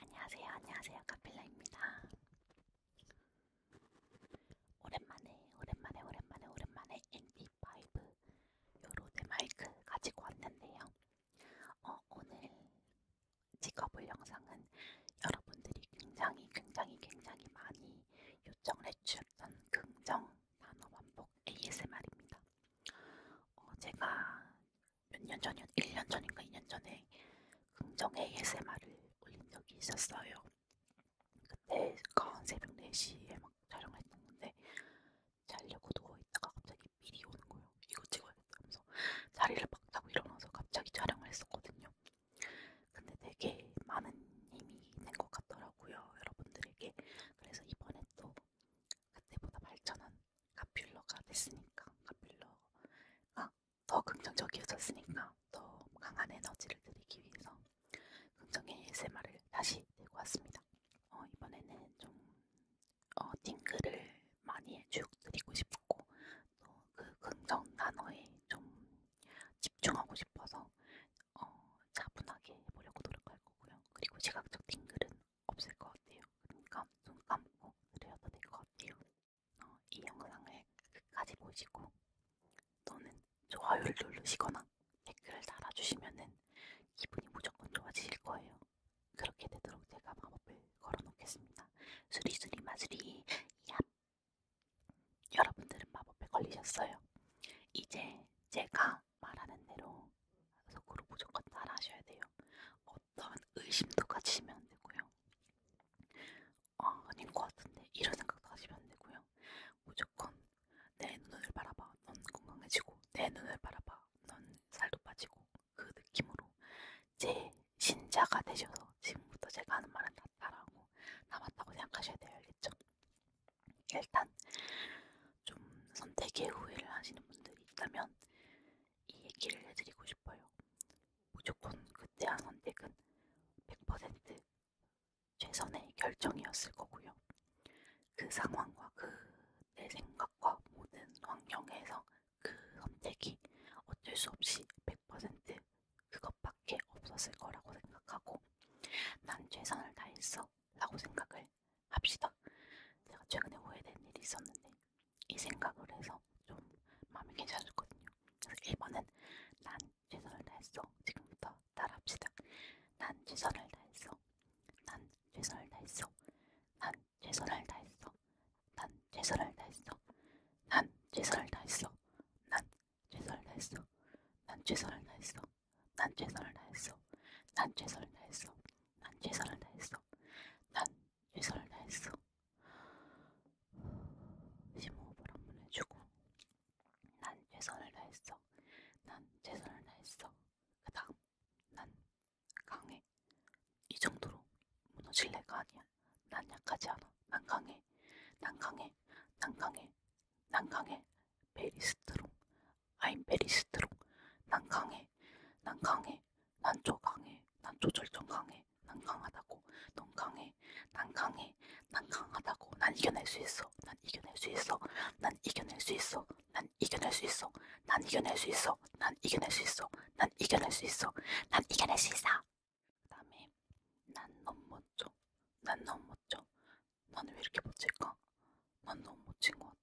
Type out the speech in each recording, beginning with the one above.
안녕하세요, 안녕하세요, 카필라입니다. 오랜만에, 오랜만에, 오랜만에, 오랜만에 ND5 요로데 마이크 가지고 왔는데요. 어, 오늘 찍어볼 영상은 여러분들이 굉장히, 굉장히, 굉장히 많이 요청을 해주셨던 긍정 단어 반복 ASMR입니다. 어, 제가 몇년 전이요? 1년 전인가 2년 전에 긍정 ASMR을 올린 적이 있었어요. 그때 한 새벽 4시에 막 촬영했던 건데 자려고 누워있다가 갑자기 미리 오는 거예요. 이거 찍어야겠다 하면서 자리를 막 자고 일어나서 갑자기 촬영을 했었거든요. 근데 되게 많은 힘이 된것 같더라고요. 여러분들에게. 그래서 이번에 또 그때보다 발전한 카필러가 됐으니까 카필러가 아, 더 긍정적이어졌으니까 더 강한 에너지를 드리기 위해서 긍정의 ASMR을 다시 들고 왔습니다. 어, 이번에는 좀 어, 띵글을 많이 쭉 드리고 싶고 또 그 긍정 단어에 좀 집중하고 싶어서 어, 차분하게 해보려고 노력할 거고요. 그리고 시각적 띵글은 없을 것 같아요. 그러니까 눈 감고 들으셔도 될 것 같아요. 어, 이 영상을 끝까지 보시고 또는 좋아요를 누르시거나 댓글을 달아주시면은 기분이 무조건 좋아지실 거예요. 그렇게 되도록 제가 마법을 걸어놓겠습니다. 수리수리 마수리 야 여러분들은 마법에 걸리셨어요. 이제 제가 말하는 대로 속으로 무조건 따라하셔야 돼요. 어떤 의심도 가지시면 안 되고요. 아, 아닌 것 같은데 이런 생각도 하시면 안 되고요. 무조건 내 눈을 바라봐. 넌 건강해지고 내 눈을 바라봐. 넌 살도 빠지고 그 느낌으로 제 신자가 되셔서 지금부터 제가 하는 말은 다 따라하고 남았다고 생각하셔야 돼요. 알겠죠? 일단 좀 선택의 후회를 하시는 분들이 있다면 이 얘기를 해드리고 싶어요. 무조건 그때 한 선택은 100% 최선의 결정이었을 거고요. 그 상황과 그 내 생각과 모든 환경에서 그 선택이 어쩔 수 없이 100% 그것밖에 없었을 거라고 생각하고 난 최선을 다했어 라고 생각을 합시다. 제가 최근에 후회된 일이 있었는데 이 생각을 해서 좀 마음이 괜찮아졌거든요. 그래서 1번은 난 최선을 다했어. 지금부터 따라합시다. 난 최선을 다했어. 난 최선을 다했어. 난 최선을 다했어. 난 최선을 다했어. 난 최선을 다했어. 난 최선을 다했어. 난 최선을 다했어. 난 최선을 다했어. 난 최선을 다했어. 난 최선을 다했어. 난 최선을 다했어. 15호흡을 한번 해주고 난 최선을 다했어. 난 최선을 다했어. 그 다음 난 강해. 이 정도로 무너질 내가 그 아니야. 난 약하지 않아. 난 강해. 난 강해. 난 강해. 난 강해. 베리스트롱. I'm 베리스트롱. 난 강해. 난 강해. 강해. 난초 강해. 난초 절정 강해. 난 강하다고. 넌 강해. 난 강해. 난 강하다고. 난 이겨낼 수 있어. 난 이겨낼 수 있어. 난 이겨낼 수 있어. 난 이겨낼 수 있어. 난 이겨낼 수 있어. 난 이겨낼 수 있어. 난 이겨낼 수 있어. 난 이겨낼 수 있어. 그다음에 난 너무 멋져. 난 너무 멋져. 나는 왜 이렇게 멋질까? 난 너무 멋진 것 같아.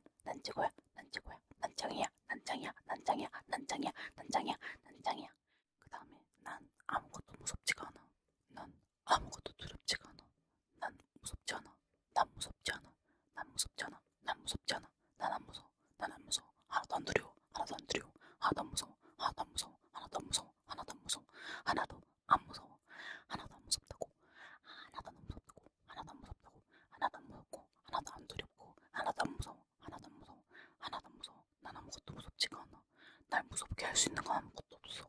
최고야, 난 최고야, 난 최고야, 난 짱이야, 난 짱이야, 난 짱이야, 난 짱이야, 난 짱이야, 난 짱이야. 그 다음에 난 아무것도 무섭지가 않아. 난 아무것도 두렵지가 않아. 난 무섭지 않아. 난 무섭지 않아. 난 무섭지 않아. 난 무섭지 않아. 난 안 무서워. 난 안 무서워. 하나도 안 두려워. 하나도 안 두려워. 하나도 안 무서워. 하나도 안 무서워. 하나도 안 무서워. 하나도 안 무서워. 하나도 안 무서워. 하나도 안 무섭다고. 하나도 안 무섭다고. 무섭고 하나도 안 무섭다고 하나도 안 무섭고 하나도 안 두렵고 하나도 안 무서워 하나도 안 무서워 하나도 안 무서워 난 아무것도 무섭지가 않아 날 무섭게 할 수 있는 건 아무것도 없어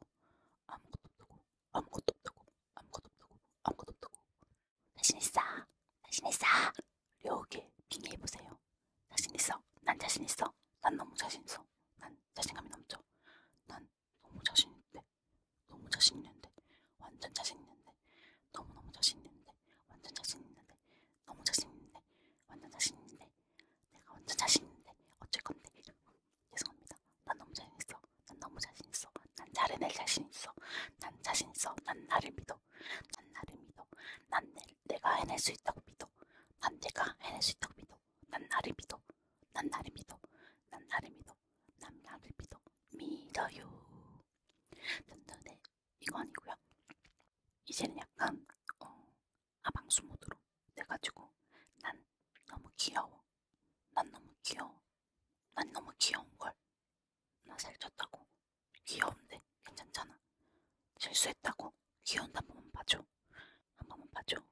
아무것도 없다고 아무것도 없다고 아무것도 없다고 아무것도 없다고 자신 있어 자신 있어 려우게 빙의해보세요 자신 있어 난 자신 있어 난 너무 자신 있어 난 자신감이 넘쳐 난 너무 자신있대. 너무 자신있는데. 완전 자신있는데. 너무너무 자신있는데. 완전 자신있는데. 너무 자신있는데. 완전 자신있는데. 내가 완전 자신있는데. 어쩔건데. 죄송합니다. 난 너무 자신있어. 난 너무 자신있어. 난 잘해낼 자신있어. 난 자신있어. 난 나를 믿어. 난 나를 믿어. 난 내, 내가 해낼 수 있다고 믿어. 난 내가 해낼 수 있다고 믿어. 난 나를 믿어. 난 나를 믿어. 난 나를 믿어. 믿어 남자를 믿어 믿어요 네 이거 아니고요 이제는 약간 어, 아방수 모드로 돼가지고 난 너무 귀여워 난 너무 귀여워 난 너무 귀여운걸 나 살쪘다고 귀여운데 괜찮잖아 실수했다고 귀여운 한 번만 봐줘 한 번만 봐줘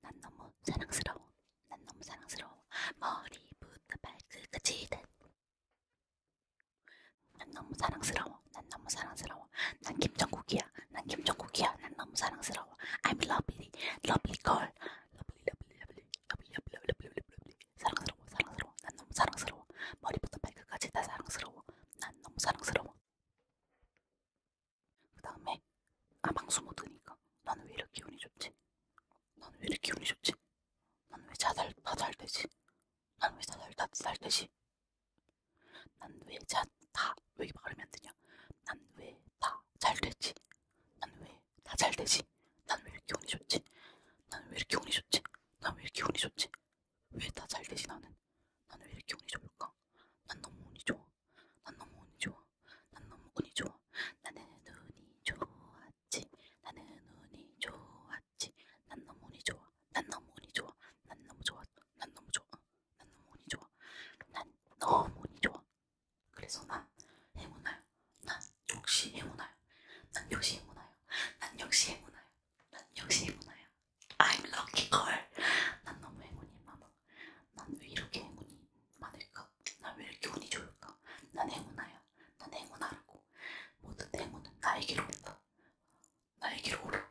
난 너무 사랑스러워. 난 너무 사랑스러워. 머리부터 발끝까지 난. 난 너무 사랑스러워. 난 너무 사랑스러워. 난 김정국이야. 난 김정국이야. 난 너무 사랑스러워. I'm lovely, lovely girl. lovely, lovely, lovely, lovely, lovely, lovely, lovely. 사랑스러워, 사랑스러워. 난 너무 사랑스러워. 머리부터 발끝까지 다 사랑스러워. 난 너무 사랑스러워. 그 다음에 아 방수 모드니까 나는 왜 이렇게 기분이 좋지? 나는 왜 이렇게 기분이 좋지? 나는 왜 자살 다잘 되지? 나는 왜 자살 다잘 되지? 난왜자 다왜 발음이 안 되냐? 난 왜 다 잘 되지? 난 왜 다 잘 되지? 난 왜 이렇게 기분이 좋지? 난 왜 이렇게 기분이 좋지? 난 왜 이렇게 기분이 좋지? 왜 다 잘 되지 나는? 나는 왜 이렇게 기분이 좋을까? 난 너무 운이 좋아. 난 너무 운이 좋아. 난 너무 운이 좋아. 나는 운이 좋았지. 나는 운이 좋았지. 난 너무 운이 좋아. 난 너무 운이 좋아. 난 너무 좋아. 난 너무 좋아. 난 너무 운이 좋아. 난 너무 운이 좋아. 그래서 난 행운아요. 난 역시 행운아요. 난 역시 행운아요. 난 역시 행운아요. 난 역시 행운아요. I'm lucky girl. 난 너무 행운이 많아. 난왜 이렇게 행운이 많을까? 난 왜 이렇게 운이 좋을까? 난 행운아야. 난 행운아라고. 모든 행운은 나에게로 온다. 나에게로 오라.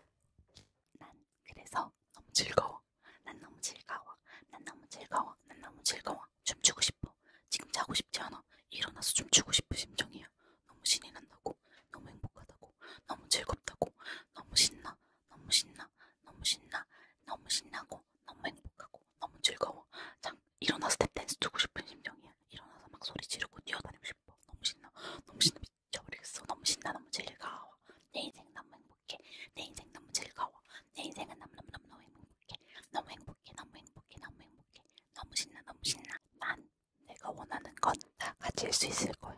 난 그래서 너무 즐거워. 난 너무 즐거워. 난 너무 즐거워. 난 너무 즐거워. 춤추고 싶어. 지금 자고 싶지 않아. 일어나서 춤추고 싶은 심정이야. 너무 신이 난다고. 너무 행복하다고. 너무 즐겁다고. 너무 신나, 너무 신나, 너무 신나, 너무 신나고, 너무 행복하고, 너무 즐거워. 참, 일어나 스텝 댄스 두고 싶은 심정이야. 일어나서 막 소리 지르고 뛰어다니고 싶어. 너무 신나, 너무 신나, 미쳐버리겠어. 너무 신나, 너무 즐거워. 내 인생 너무 행복해. 내 인생 너무 즐거워. 내 인생은 너무너무너무 너무 행복해. 너무 행복해, 너무 행복해, 너무 행복해. 너무 신나, 너무 신나. 난 내가 원하는 건 다 가질 수 있을 거야.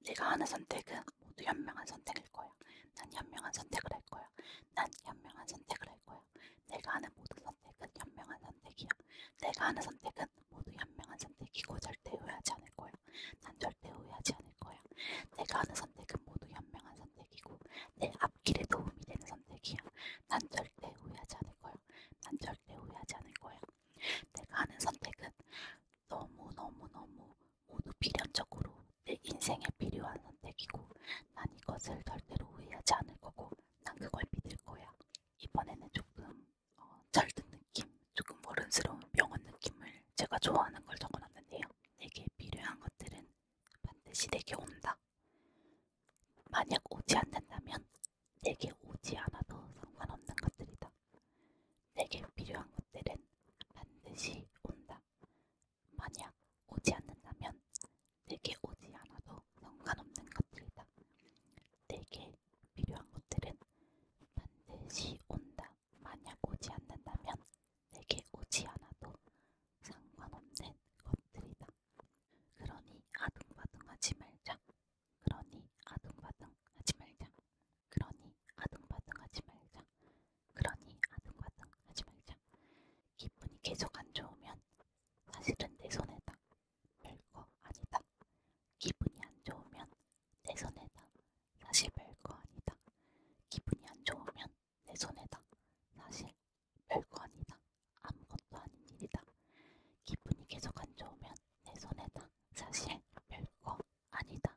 네가 하는 선택은 모두 현명한 선택일 거야. 난 현명한 선택을 할 거야. 난 현명한 선택을 할 거야. 내가 하는 모든 선택은 현명한 선택이야. 내가 하는 선택은 모두 현명한 선택이고 절대 후회하지 않을 거야. 난 절대 후회하지 않을 거야. 내가 하는 선택은 모두 현명한 선택이고 내 앞길에 도움이 되는 선택이야. 난 절대 후회하지 않을 거야. 난 절대 후회하지 않을 거야. 내가 하는 선택은 너무 너무 너무 모두 필연적으로 내 인생에 필요한 선택이고 난 이것을 절대로 후회하지 않을 거고 난 그걸 믿을 거야. 이번에는 조금 어, 잘든 느낌, 조금 어른스러운 명언 느낌을 제가 좋아하는 걸 적어놨는데요. 내게 필요한 것들은 반드시 내게 온다. 만약 오지 않는다면 내게 오지 않아도 상관없는 것들이다. 내게 필요한 것들은 반드시 온다. 만약 오지 않는다면 내게 오지 않아도 상관없는 것들이다. 내게 필요한 것들은 반드시 온다. 만약 오지 않는다면 내게 오지 않아도 상관없는 것들이다. 그러니 아등바등하지 말자. 그러니 아등바등하지 말자. 그러니 아등바등하지 말자. 그러니 아등바등하지 말자. 기분이 계속 안 좋으면 사실은 내 손에다 별거 아니다. 기분이 안 좋으면 내 손에다 사실 별거 아니다. 기분이 안 좋으면 내 손에다 사실 별거 아니다. 아무것도 아닌 일이다. 기분이 계속 안 좋으면 내 손에다 사실 별거 아니다.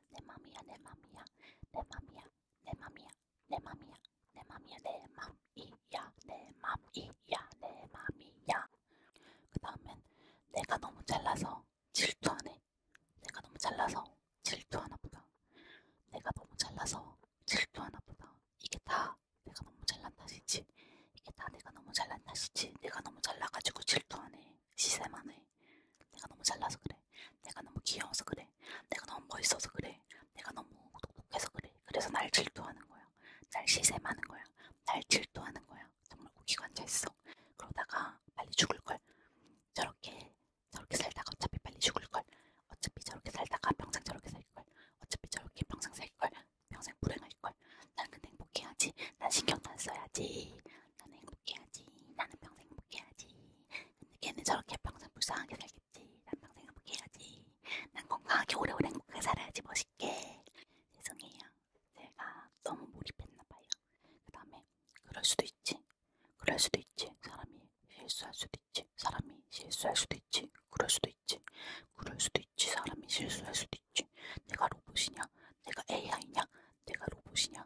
내 맘이야 내 맘이야 내 맘이야 내 맘이야 내 맘이야 내 맘이야 내 맘이야 내 맘이야 내 맘이야 그 다음엔 내가 너무 잘나서 질투하네 내가 너무 잘나서 질투하나 보다 내가 너무 잘나서 질투하나 보다 이게 다 내가 너무 잘난 탓이지 이게 다 내가 너무 잘난 탓이지 내가 너무 잘나가지고 질투하네 시세만 해. 내가 너무 잘나서 그래. 내가 너무 귀여워서 그래. 내가 너무 멋있어서 그래. 내가 너무 똑똑해서 그래. 그래서 날 질투하는 거야. 날 시세 많은 거야. 날 질투하는 거야. 정말 고기가 앉아있어. 그러다가 빨리 죽을걸. 저렇게 저렇게 살다가 어차피 빨리 죽을걸. 어차피 저렇게 살다가 평생 저렇게 살걸. 어차피 저렇게 평생 살걸. 평생 불행할걸. 난 근데 행복해야지. 난 신경 안 써야지. 나는 행복해야지. 나는 평생 행복해야지. 근데 걔는 저렇게 평생 불쌍하게 살겠지. 난 평생 행복해야지. 난 건강하게 오래오래 행복하게 살아야지 멋있게. 죄송해요. 제가 너무 몰입했나봐요. 그 다음에 그럴 수도 있지. 그럴 수도 있지. 사람이 실수할 수도 있지. 사람이 실수할 수도 있지. 그럴 수도 있지. 그럴 수도 있지. 사람이 실수할 수도 있지. 내가 로봇이냐? 내가 AI냐? 내가 로봇이냐?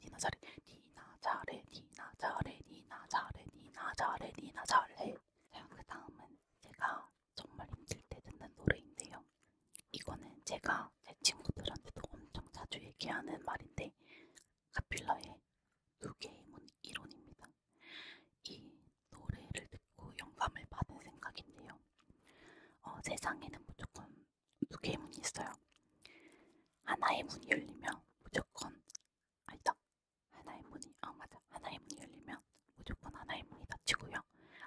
니나 잘해 니나 잘해 니나 잘해 니나 잘해 니나 잘해 니나 잘해 자그 다음은 제가 정말 힘들 때 듣는 노래인데요 이거는 제가 제 친구들한테도 엄청 자주 얘기하는 말인데 카필러의 두 개의 문 이론입니다 이 노래를 듣고 영감을 받은 생각인데요 어, 세상에는 무조건 두 개의 문이 있어요 하나의 문이 열리면 무조건 아니다. 하나의 문이 아 맞아. 하나의 문이 열리면 무조건 하나의 문이 닫히고요.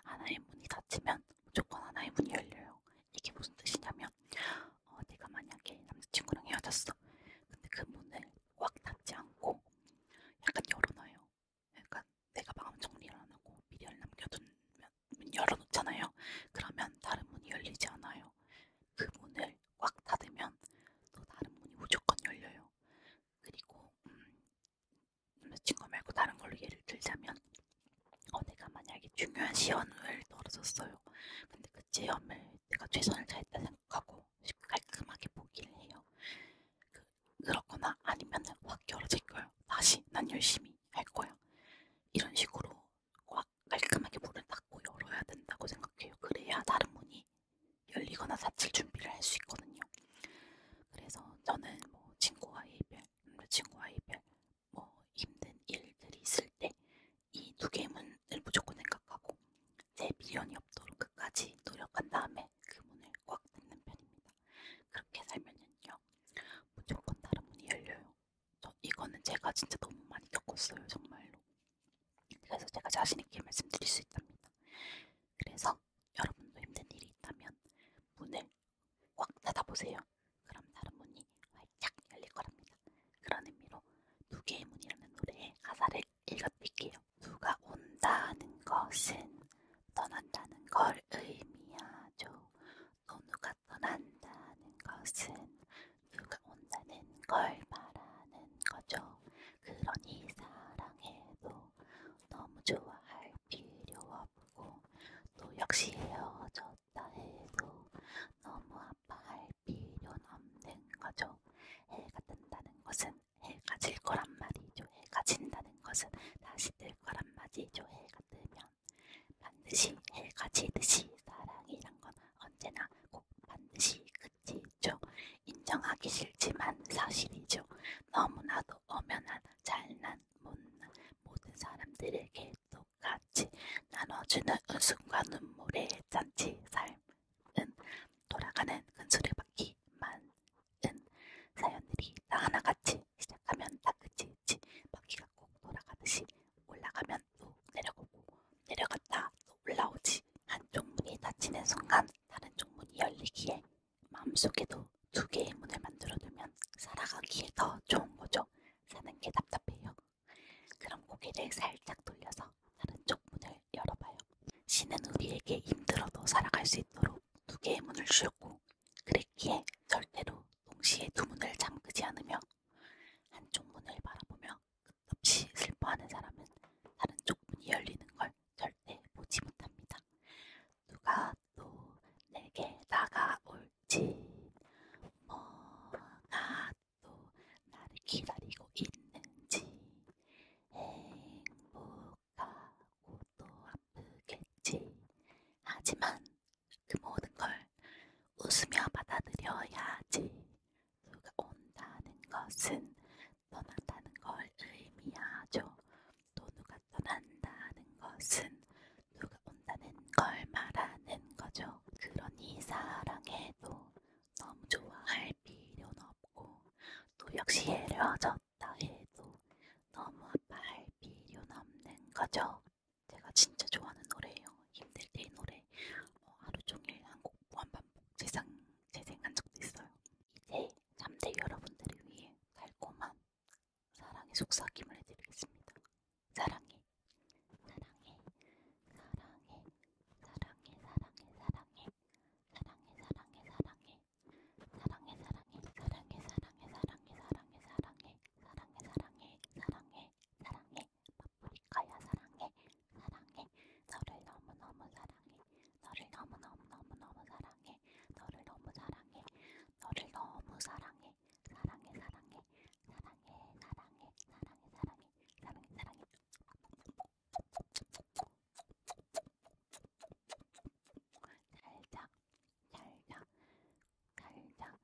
하나의 문이 닫히면 무조건 하나의 문이 열려요. 이게 무슨 뜻이냐면 어, 내가 만약에 남자친구랑 헤어졌어. 근데 그 문을 꽉 닫지 않고 약간 열어놔요. 약간 그러니까 내가 마음 정리를 안 하고 미련을 남겨두면 문 열어놓잖아요. 그러면 다른 문이 열리지 않아요. 그 문을 꽉 닫으면 또 다른 문이 무조건 열려요. 그리고 음, 남자친구 말고 다른 걸로 예를 들자면 어, 내가 만약에 중요한 시험을 떨어졌어요. 근데 그 시험을 내가 최선을 다했다 생각하고 깔끔하게 보기를 해요. 그, 그렇거나 아니면 확 열어질 거예요. 다시 난 열심히 할 거야. 이런 식으로 꽉막 깔끔하게 물을 닦고 열어야 된다고 생각해요. 그래야 다른 문이 열리거나 사칠 준비를 할 수 있거든요. 그래서 저는 뭐 친구와 이별, 친구와 이별, 뭐 힘든 일들이 있을 때 이 두 개의 문을 무조건 생각하고 제 미련이 없도록 끝까지 노력한 다음에 그 문을 꽉 닫는 편입니다. 그렇게 살면은요 무조건 다른 문이 열려요. 전 이거는 제가 진짜 너무 많이 겪었어요 정말로. 그래서 제가 자신 있게 말씀드릴 수 있답니다. 그래서 여러분도 힘든 일이 있다면 문을 꽉 닫아보세요. 그럼 다른 문이 활짝 열릴 거랍니다. 그런 의미로 두 개의 문이라는 노래의 가사를 읽어드릴게요. 누가 온다는 것은 떠난다는 걸 의미하죠. 또 누가 떠난다는 것은 누가 그러니까 온다는 걸 바라는 거죠. 그러니 사랑해도 너무 좋아할 필요 없고 또 역시 헤어졌다 해도 너무 아파할 필요는 없는 거죠. 해가 뜬다는 것은 해가 질 거란 말이죠. 해가 진다는 것은 다시 뜰 거란 말이죠. 해가 뜨면 반드시 해가 지듯이 사랑이란 건 언제나 꼭 반드시 끝이 있죠. 인정하기 싫지만 사실이죠. 너무나도 엄연한 잘난 못난 모든 사람들에게 똑같이 나눠주는 웃음과 눈물의 잔치 삶은 돌아가는 근수레바퀴만은 사연들이 다 하나같이 시작하면 다 끝이지 바퀴가 꼭 돌아가듯이 올라가면 또 내려오고 내려갔다 또 올라오지 한 쪽문이 닫히는 순간 다른 쪽문이 열리기에 마음속에도 두 개의 문을 만들어두면 살아가기에 더 좋은 거죠. 사는 게 답답해요. 그럼 고개를 살짝 돌려서 다른 쪽 문을 열어봐요. 신은 우리에게 힘들어도 살아갈 수 있도록 두 개의 문을 주었고 그랬기에 절대로 동시에 두 문을 잠그지 않으며 한쪽 문을 바라보며 끝없이 슬퍼하는 사람은 다른 쪽문이 열리는 걸 절대 보지 못합니다. 누가 또 내게 다가올지, 뭐가 또 나를 기다리고 있는지, 행복하고 또 아프겠지. 하지만 그 모든 걸 웃으며 받아들여야지. 누가 온다는 것은 떠난다는 걸 의미하죠. 또 누가 떠난다는 것은 누가 온다는 걸 말하는 거죠. 그러니 사랑해도 너무 좋아할 필요는 없고 또 역시 헤어졌다 해도 너무 아파할 필요는 없는 거죠. 제가 진짜 좋아하는 노래예요. 힘들 때이 노래 어, 하루 종일 한 곡 무한반복 재생, 재생한 적도 있어요. 이제 잠들 여러분들을 위해 달콤한 사랑의 속삭임을 해드리겠습니다. 사랑해, 사랑해, 사랑해, 사랑해, 사랑해, 사랑해, 사랑해, 사랑해, 사랑해. 사랑해 사랑해 사랑해 사랑해 사랑해 사랑해 사랑해 사랑해 사랑해 사랑해 사랑해 파프리카야 사랑해 사랑해 너를 너무너무 사랑해 너를 너무너무너무너무 사랑해 너를 너무 사랑해 너를 너무 사랑해 사랑해 사랑해 사랑해 사랑해 사랑해 사랑해 사랑해 사랑해 잘자 잘자 잘자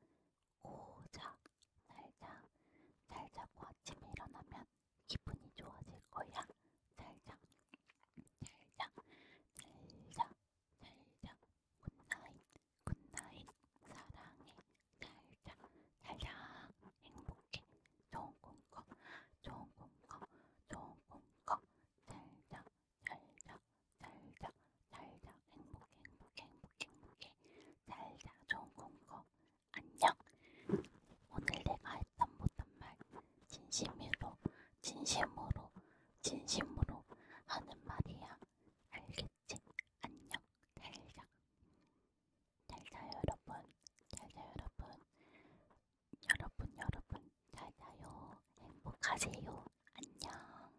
고자 잘자 잘 자고 아침에 일어나면 기분이 좋아질 거야 잘자 잘자 잘자 잘자 굿나잇 굿나잇 사랑해 잘자 잘자 행복해 좋은 꿈꿔 좋은 꿈꿔 좋은 꿈꿔 잘자 잘자 잘자 잘자 행복해 행복해 행복해 행복해 살다 좋은 공부 안녕 오늘 내가 했던 못한 말 진심으로 진심으로 진심으로 하는 말이야 알겠지 안녕 잘자 잘자 여러분 잘자 여러분 여러분 여러분 잘자요 행복하세요 안녕